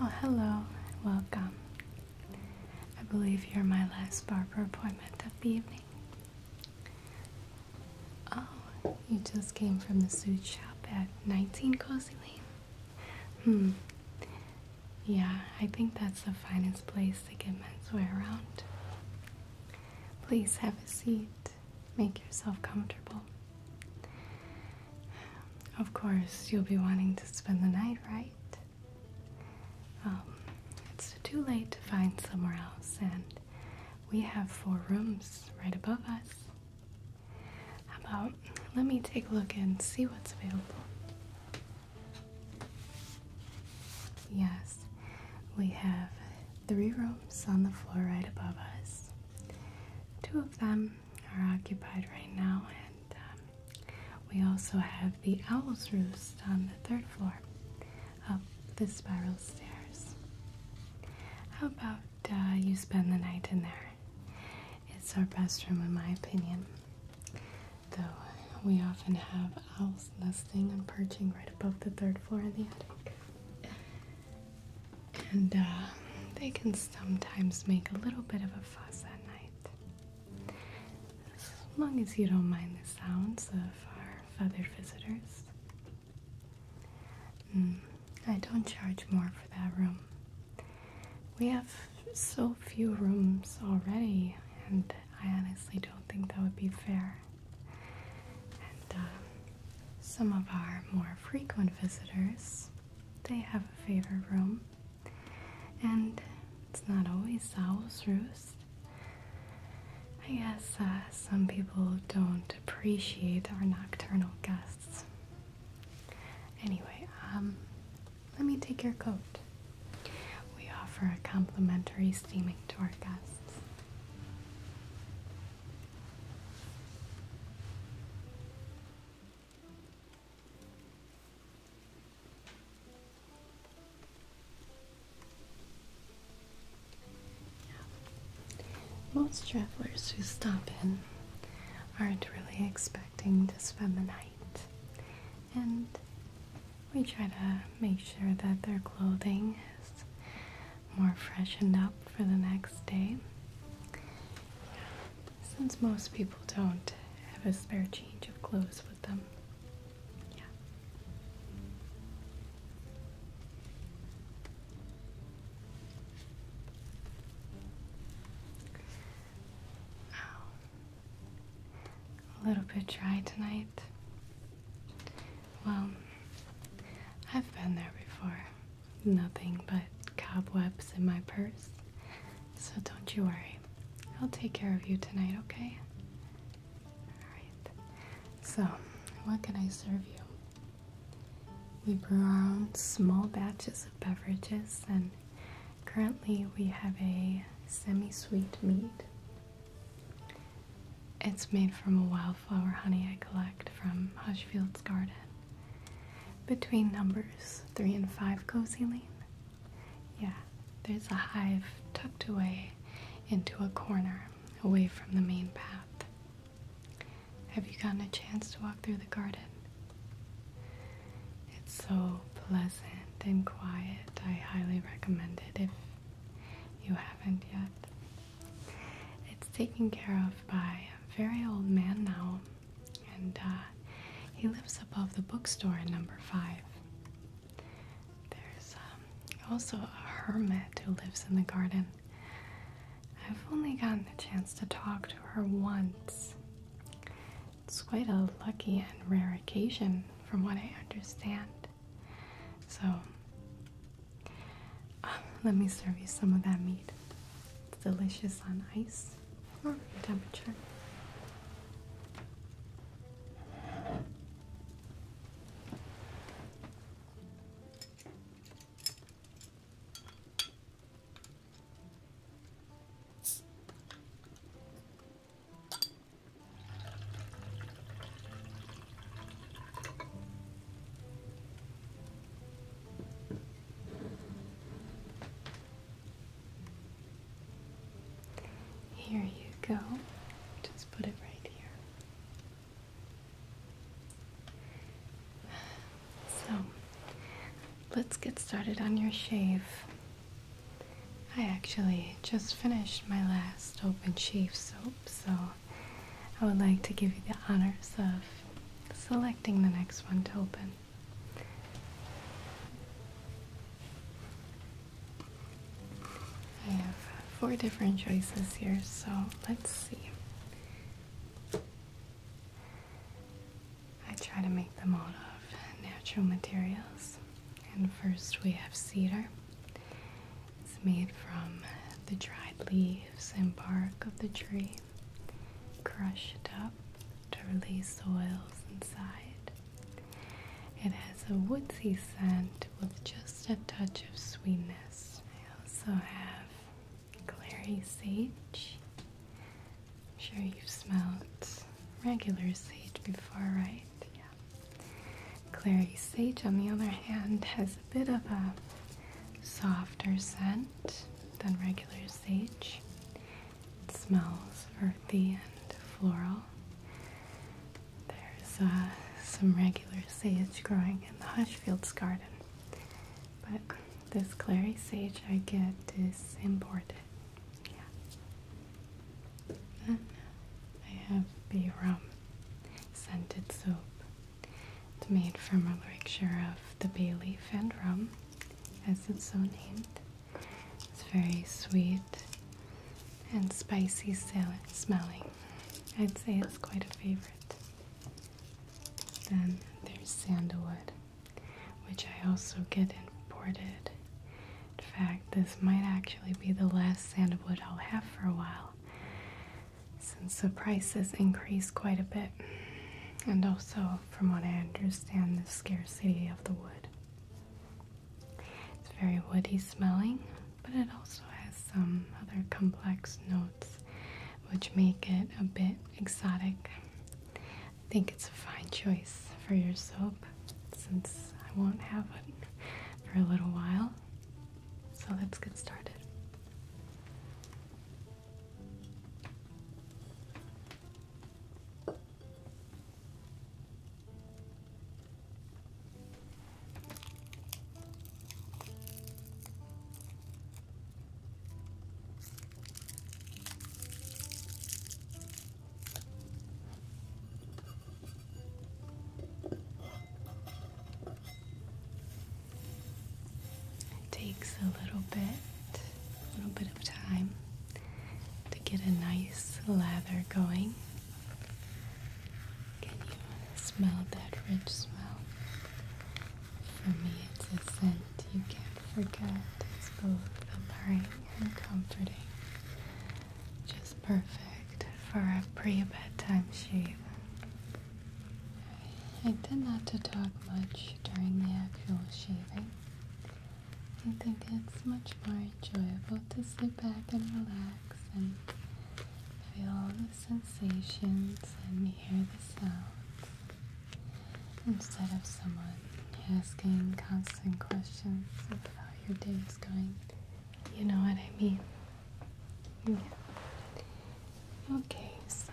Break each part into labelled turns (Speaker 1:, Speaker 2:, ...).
Speaker 1: Oh, hello, welcome. I believe you're my last barber appointment of the evening. Oh, you just came from the suit shop at 19 Cozy Lane? Hmm, yeah, I think that's the finest place to get menswear around. Please have a seat. Make yourself comfortable. Of course, you'll be wanting to spend the night, right? Um, it's too late to find somewhere else, and we have four rooms right above us. about let me take a look and see what's available? Yes, we have three rooms on the floor right above us. Two of them are occupied right now, and um, we also have the Owl's Roost on the third floor up the spiral stairs. How about uh, you spend the night in there? It's our best room, in my opinion though we often have owls nesting and perching right above the third floor in the attic. And uh, they can sometimes make a little bit of a fuss at night. As long as you don't mind the sounds of our feathered visitors. Hmm, I don't charge more for that room. We have so few rooms already, and I honestly don't think that would be fair. And uh, some of our more frequent visitors, they have a favorite room, and it's not always owl's roost. I guess uh, some people don't appreciate our nocturnal guests. Anyway, um, let me take your coat. We offer a complimentary steaming to our guests. Most travelers who stop in aren't really expecting to spend the night and we try to make sure that their clothing is more freshened up for the next day. Since most people don't have a spare change of clothes with them. A little bit dry tonight. Well, I've been there before. Nothing but cobwebs in my purse. So don't you worry. I'll take care of you tonight, okay? Alright. So, what can I serve you? We brew our own small batches of beverages and Currently, we have a semi sweet mead. It's made from a wildflower honey I collect from Hushfield's garden. Between numbers 3 and 5 Cozy Lane. Yeah, there's a hive tucked away into a corner away from the main path. Have you gotten a chance to walk through the garden? It's so pleasant and quiet. I highly recommend it if you haven't yet. It's taken care of by a very old man now, and uh, he lives above the bookstore in number five. There's um, also a hermit who lives in the garden. I've only gotten the chance to talk to her once. It's quite a lucky and rare occasion, from what I understand. So, um, let me serve you some of that meat. It's delicious on ice room temperature. Here you go. Just put it right here. So, let's get started on your shave. I actually just finished my last open shave soap, so I would like to give you the honors of selecting the next one to open. I have four different choices here, so let's see. I try to make them out of natural materials. And first we have cedar. It's made from the dried leaves and bark of the tree, crushed up to release oils inside. It has a woodsy scent with just a touch of sweetness. I also have clary sage. I'm sure you've smelled regular sage before, right? Yeah. Clary sage, on the other hand, has a bit of a softer scent than regular sage. It smells earthy and floral. There's uh, some regular sage growing in the Hushfields garden, but this clary sage I get is imported yeah. I have bay rum scented soap. It's made from a mixture of the bay leaf and rum, as it's so named. It's very sweet and spicy smelling. I'd say it's quite a favorite. Then there's sandalwood which I also get imported. In fact, this might actually be the last sandalwood I'll have for a while since the prices increased quite a bit. And also, from what I understand, the scarcity of the wood. It's very woody smelling, but it also has some other complex notes which make it a bit exotic. I think it's a fine choice for your soap since I won't have it for a little while. So let's get started. It takes a little bit, a little bit of time to get a nice lather going. Can you smell that rich smell? For me, it's a scent you can't forget. It's both a and comforting. Just perfect for a pre bedtime sheep. I tend not to talk much during the actual shaving. I think it's much more enjoyable to sit back and relax and feel all the sensations and hear the sounds instead of someone asking constant questions about your day is going. You know what I mean? Okay, so.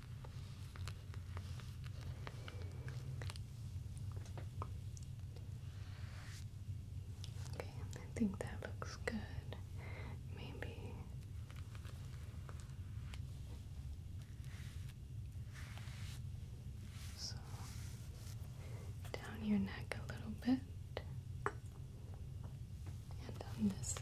Speaker 1: Okay, I think that looks good. Maybe so down your neck a little bit and on this side.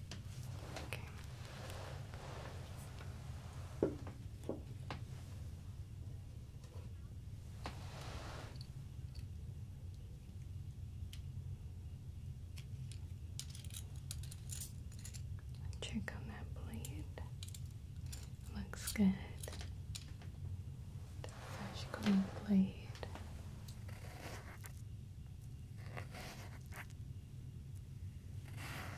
Speaker 1: Okay. Check on that blade. Looks good. Magical blade.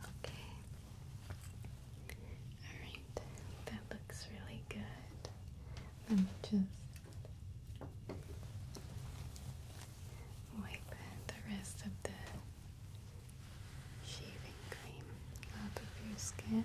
Speaker 1: Okay. All right. That looks really good. Let me just Wipe the rest of the shaving cream off of your skin.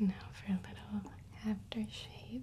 Speaker 1: Now for a little aftershave.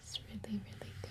Speaker 1: It's really, really good.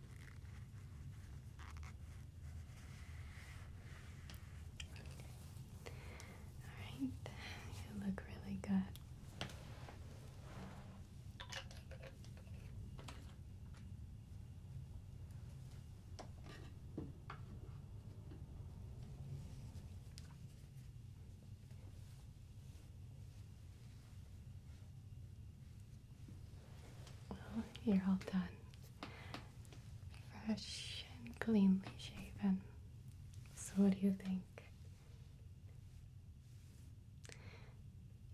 Speaker 1: All right, you look really good. Well, oh, you're all done. Fresh and cleanly shaven. So, what do you think?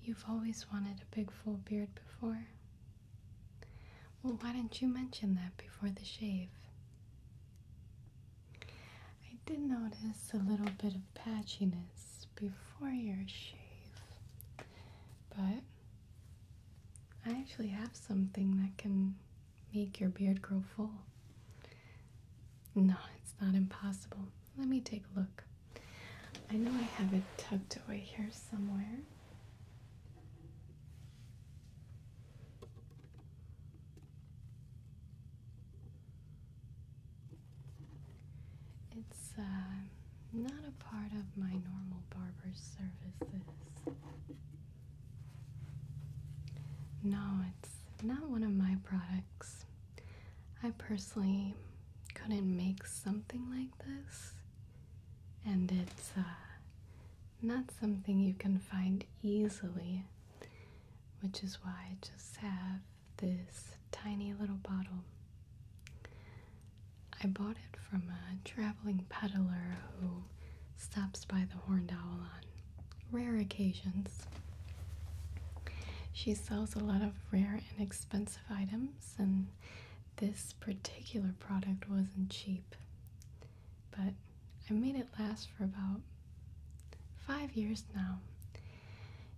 Speaker 1: You've always wanted a big full beard before? Well, why didn't you mention that before the shave? I did notice a little bit of patchiness before your shave. But I actually have something that can make your beard grow full. No, it's not impossible. Let me take a look. I know I have it tucked away here somewhere. It's uh, not a part of my normal barber's services. No, it's not one of my products. I personally couldn't make something like this, and it's uh, not something you can find easily, which is why I just have this tiny little bottle. I bought it from a traveling peddler who stops by the Horned Owl on rare occasions. She sells a lot of rare and expensive items, and this particular product wasn't cheap. But I made it last for about five years now,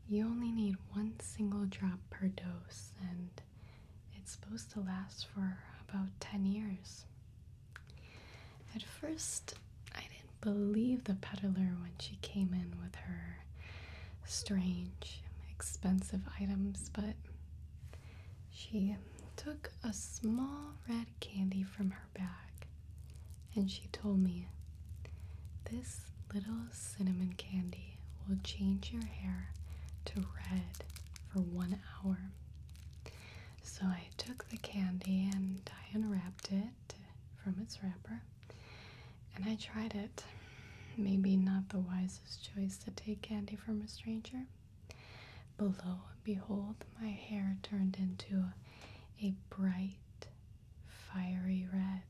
Speaker 1: you only need one single drop per dose, and it's supposed to last for about 10 years. At first, I didn't believe the peddler when she came in with her strange, expensive items, but she took a small red candy from her bag and she told me, This little cinnamon candy will change your hair to red for one hour. So I took the candy and I unwrapped it from its wrapper and I tried it. Maybe not the wisest choice to take candy from a stranger. Below and behold, my hair turned into a bright fiery red.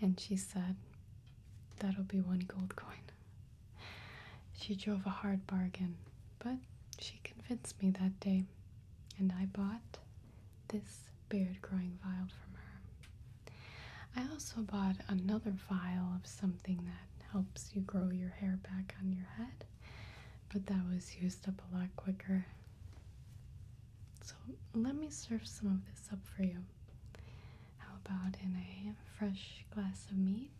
Speaker 1: And she said, That'll be one gold coin. She drove a hard bargain, but she convinced me that day, and I bought this beard growing vial from her. I also bought another vial of something that helps you grow your hair back on your head, but that was used up a lot quicker. So let me serve some of this up for you. How about in a fresh glass of meat?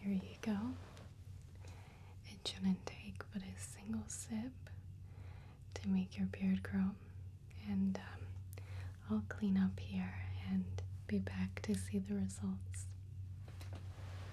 Speaker 1: Here you go. It shouldn't take but a single sip to make your beard grow. And um, I'll clean up here and be back to see the results.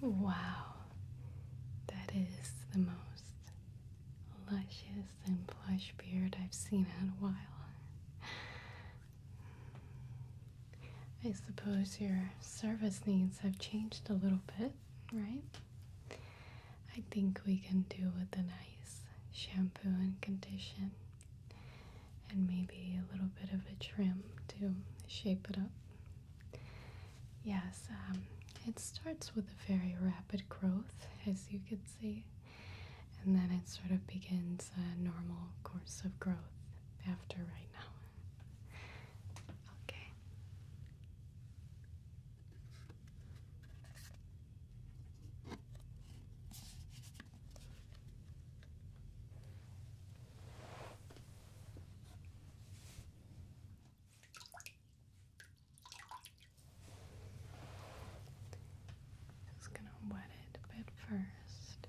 Speaker 1: Wow, that is the most luscious and plush beard I've seen in a while. I suppose your service needs have changed a little bit right? I think we can do with a nice shampoo and condition and maybe a little bit of a trim to shape it up. Yes, um, it starts with a very rapid growth, as you can see, and then it sort of begins a normal course of growth after right now. Okay. Just going to wet it a bit first.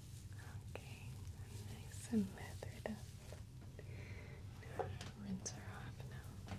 Speaker 1: Okay, nice and methered up. Now rinse her off now.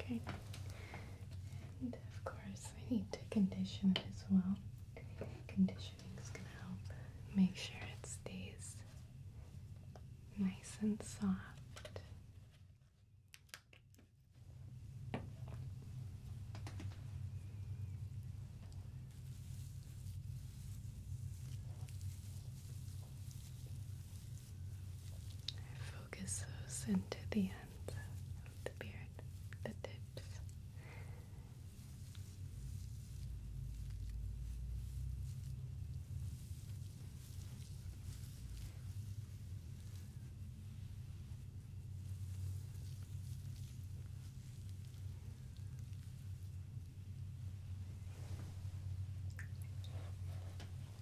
Speaker 1: Okay. And of course, we need to condition it as well. Conditioning is going to help make sure it stays nice and soft. Focus those into the ends of the beard, the tips.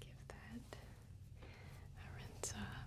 Speaker 1: Give that a rinse off.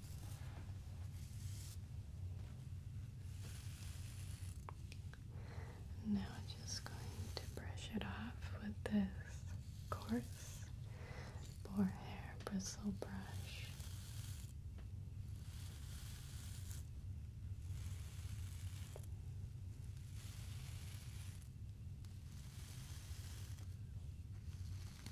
Speaker 1: Now just going to brush it off with this coarse boar hair bristle brush.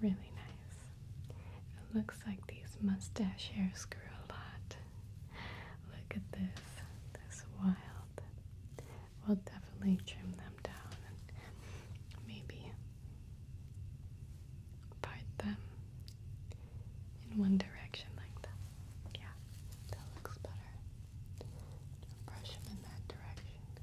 Speaker 1: Really nice. It looks like these mustache hairs grew a lot. Look at this, this wild we'll definitely trim them down and maybe part them in one direction like that. Yeah, that looks better. Just brush them in that direction. Okay.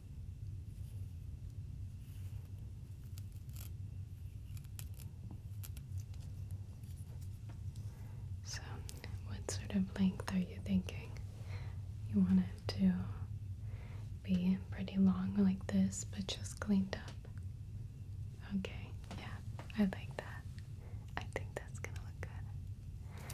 Speaker 1: So, what sort of length are you thinking? You want it to be pretty long like this, but just cleaned up. Okay, yeah, I like that. I think that's gonna look good.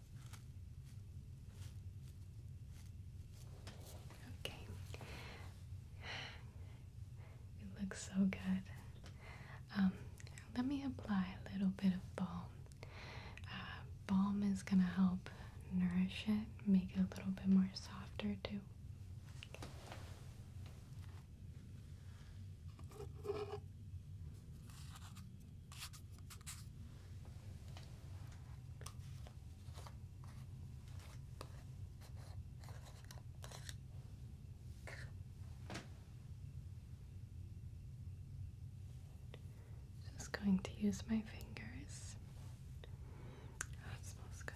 Speaker 1: Okay. It looks so good. Um, let me apply a little bit of balm. Uh, balm is going to help nourish it, make it a little bit more softer too. Just going to use my fingers. Oh, smells good.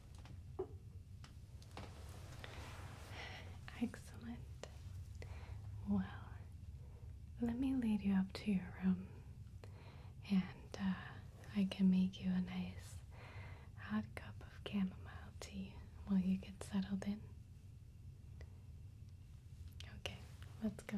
Speaker 1: Excellent. Well, let me lead you up to your room and uh, I can make you a nice hot cup of chamomile tea while you get settled in. Okay, let's go.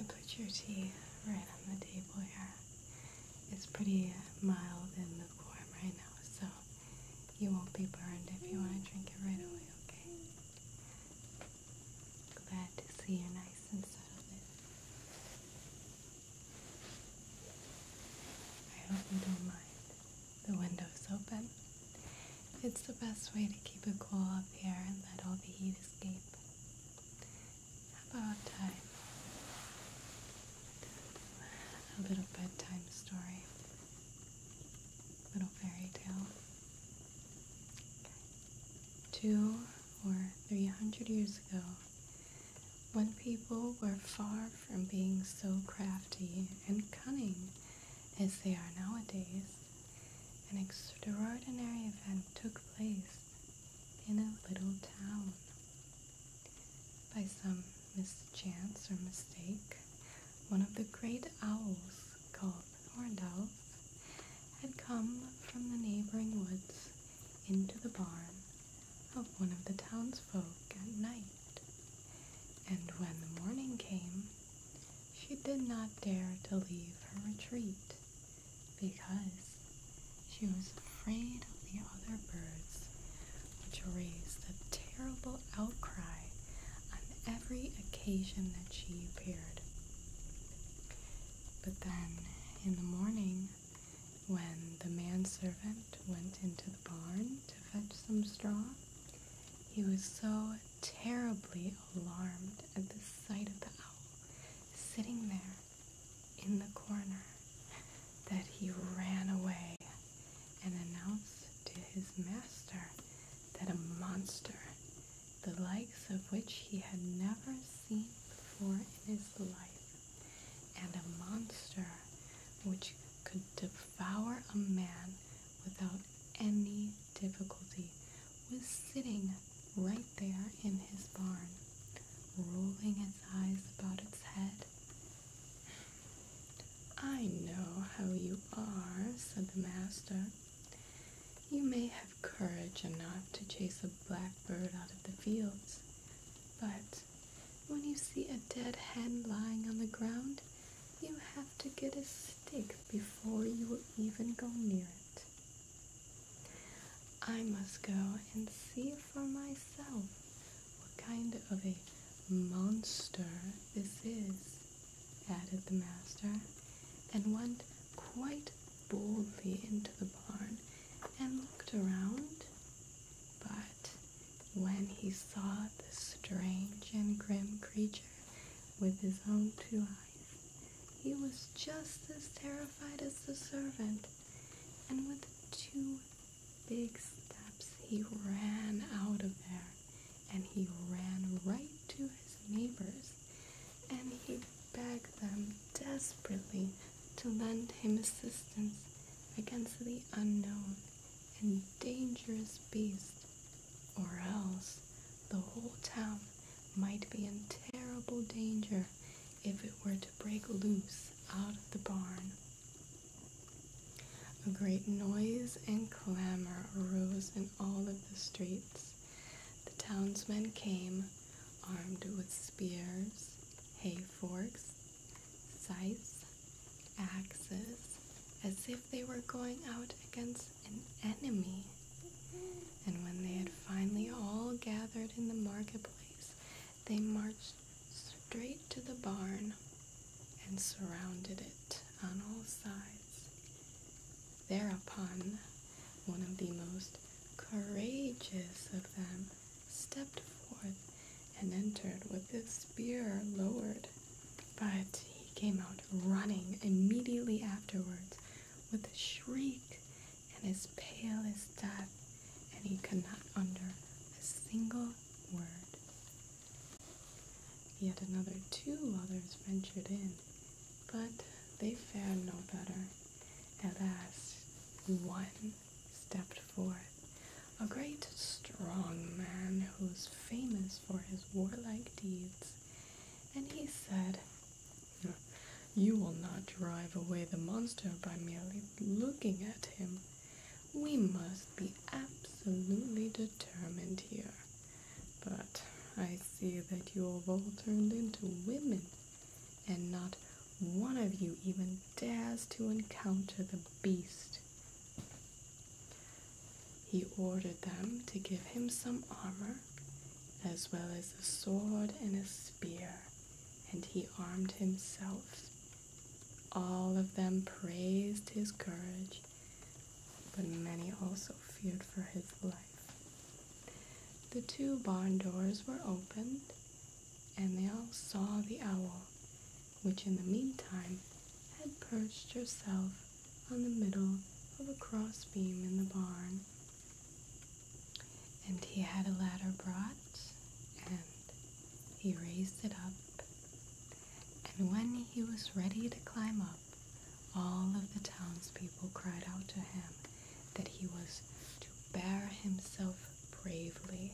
Speaker 1: I put your tea right on the table here. It's pretty mild and lukewarm right now, so you won't be burned if you want to drink it right away, okay? Glad to see you nice and settled I hope you don't mind the windows open. It's the best way to keep it cool up here and let all the heat escape. How about time? A little bedtime story. Little fairy tale. Two or three hundred years ago, when people were far from being so crafty and cunning as they are nowadays, an extraordinary event took place in a little town. By some mischance or mistake, one of the great owls called horned owls had come from the neighboring woods into the barn of one of the townsfolk at night. And when the morning came, she did not dare to leave her retreat because she was afraid of the other birds, which raised a terrible outcry on every occasion that she appeared. But then, in the morning, when the manservant went into the barn to fetch some straw, he was so terribly alarmed at the sight of the owl sitting there in the corner that he ran away and announced to his master that a monster, the likes of which he had never seen before in his life, and a monster which could devour a man without without any difficulty was sitting right there in his barn, rolling its eyes about its head. I know how you are, said the master. You may have courage enough to chase a blackbird out of the fields, but when you see a dead hen lying on the ground, you have to get a stick before you even go near it. I must go and see for myself what kind of a monster this is, added the master, and went quite boldly into the barn and looked around. But when he saw the strange and grim creature, with his own two eyes. He was just as terrified as the servant, and with two big steps he ran out of there, and he ran right to his neighbors, and he begged them desperately to lend him assistance against the unknown and dangerous beast, or else the whole town might be in terrible danger if it were to break loose out of the barn. A great noise and clamor arose in all of the streets. The townsmen came, armed with spears, hay forks, scythes, axes, as they they were going out against an enemy. And when they had finally all gathered in the marketplace, they marched straight to the barn and surrounded it on all sides. Thereupon, one of the most courageous of them stepped forth and entered with his spear lowered but he came out running immediately afterwards with a shriek and as pale as death, and he could not utter a single word. Yet another two others ventured in, but they fared no better. At last, one stepped forth, a great strong man who was famous for his warlike deeds, and he said, You will not drive away the monster by merely looking at him. We must be absolutely determined here. But I see that you have all turned into women, and not one of you even dares to encounter the beast. He ordered them to give him some armor, as well as a sword and a spear, and he armed himself. All of them praised his courage, but many also feared for his life. The two barn doors were opened, and they all saw the owl, which in the meantime had perched herself on the middle of a crossbeam in the barn. And he had a ladder brought, and he raised it up. And when he was ready to climb up, all of the townspeople cried out to him that he was to bear himself bravely,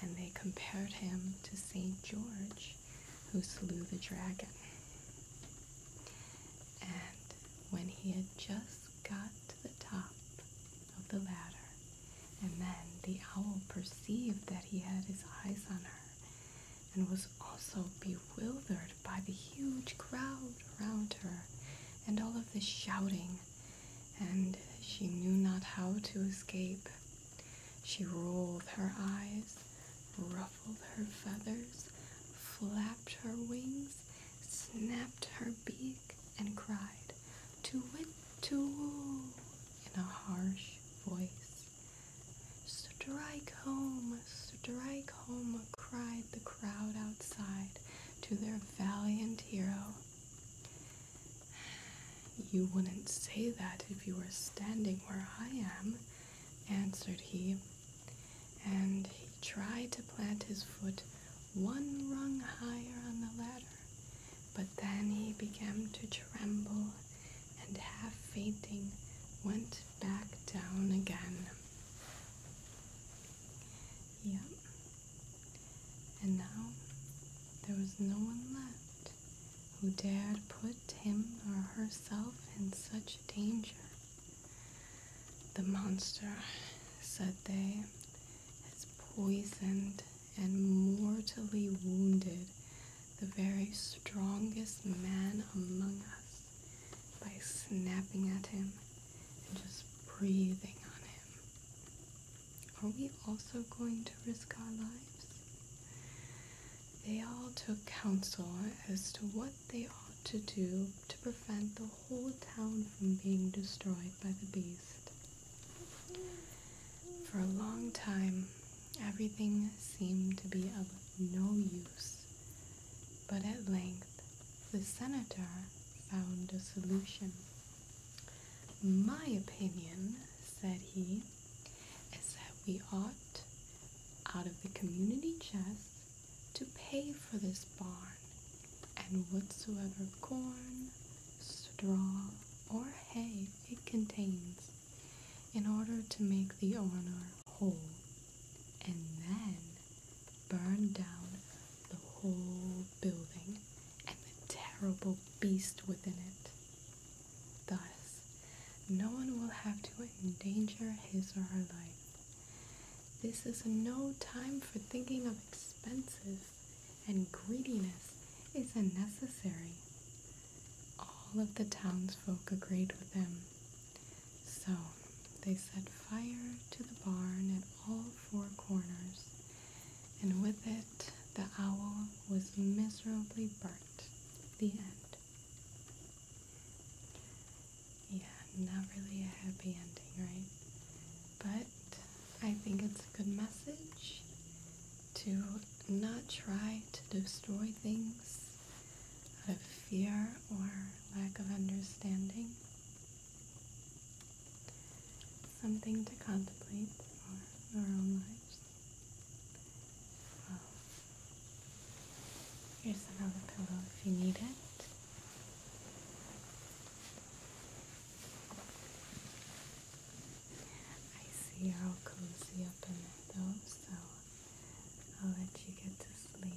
Speaker 1: and they compared him to St. George who slew the dragon. And when he had just got to the top of the ladder, and then the owl perceived that he had his eyes on her, and was also bewildered by the huge crowd around her and all of the shouting, and she knew not how to escape. She rolled her eyes, ruffled ruffled her feathers, flapped her wings, snapped her beak, and cried, To wit, to woo, in a harsh voice. Strike home, strike home, cried the crowd outside to their valiant hero. You wouldn't say that if you were standing where I am, answered he, and he tried to plant his foot one rung higher on the ladder, but then he began to tremble and half fainting went back down again. Yep. And now there was no one left who dared put him or herself in such danger. The monster, said they, has poisoned and mortally wounded the very strongest man among us by snapping at him and just breathing on him. Are we also going to risk our lives? they all took counsel as to what they ought to do to prevent the whole town from being destroyed by the beast. For a long time, everything seemed to be of no use, but at length the senator found a solution. My opinion, said he, is that we ought, out of the community chest, to pay for this barn, and whatsoever corn, straw, or hay it contains, in order to make the owner whole, and then burn down the whole building and the terrible beast within it. Thus, no one will have to endanger his or her life. This is no time for thinking of expenses, and greediness is unnecessary. All of the townsfolk agreed with him. So they set fire to the barn at all four corners, and with it the owl was miserably burnt. The end. Yeah, not really a happy ending, right? But I think it's a good message to not try to destroy things out of fear or lack of understanding. Something to contemplate for our own lives. Oh. here's another pillow if you need it. I see you cozy up in there though, so I'll let you get to sleep.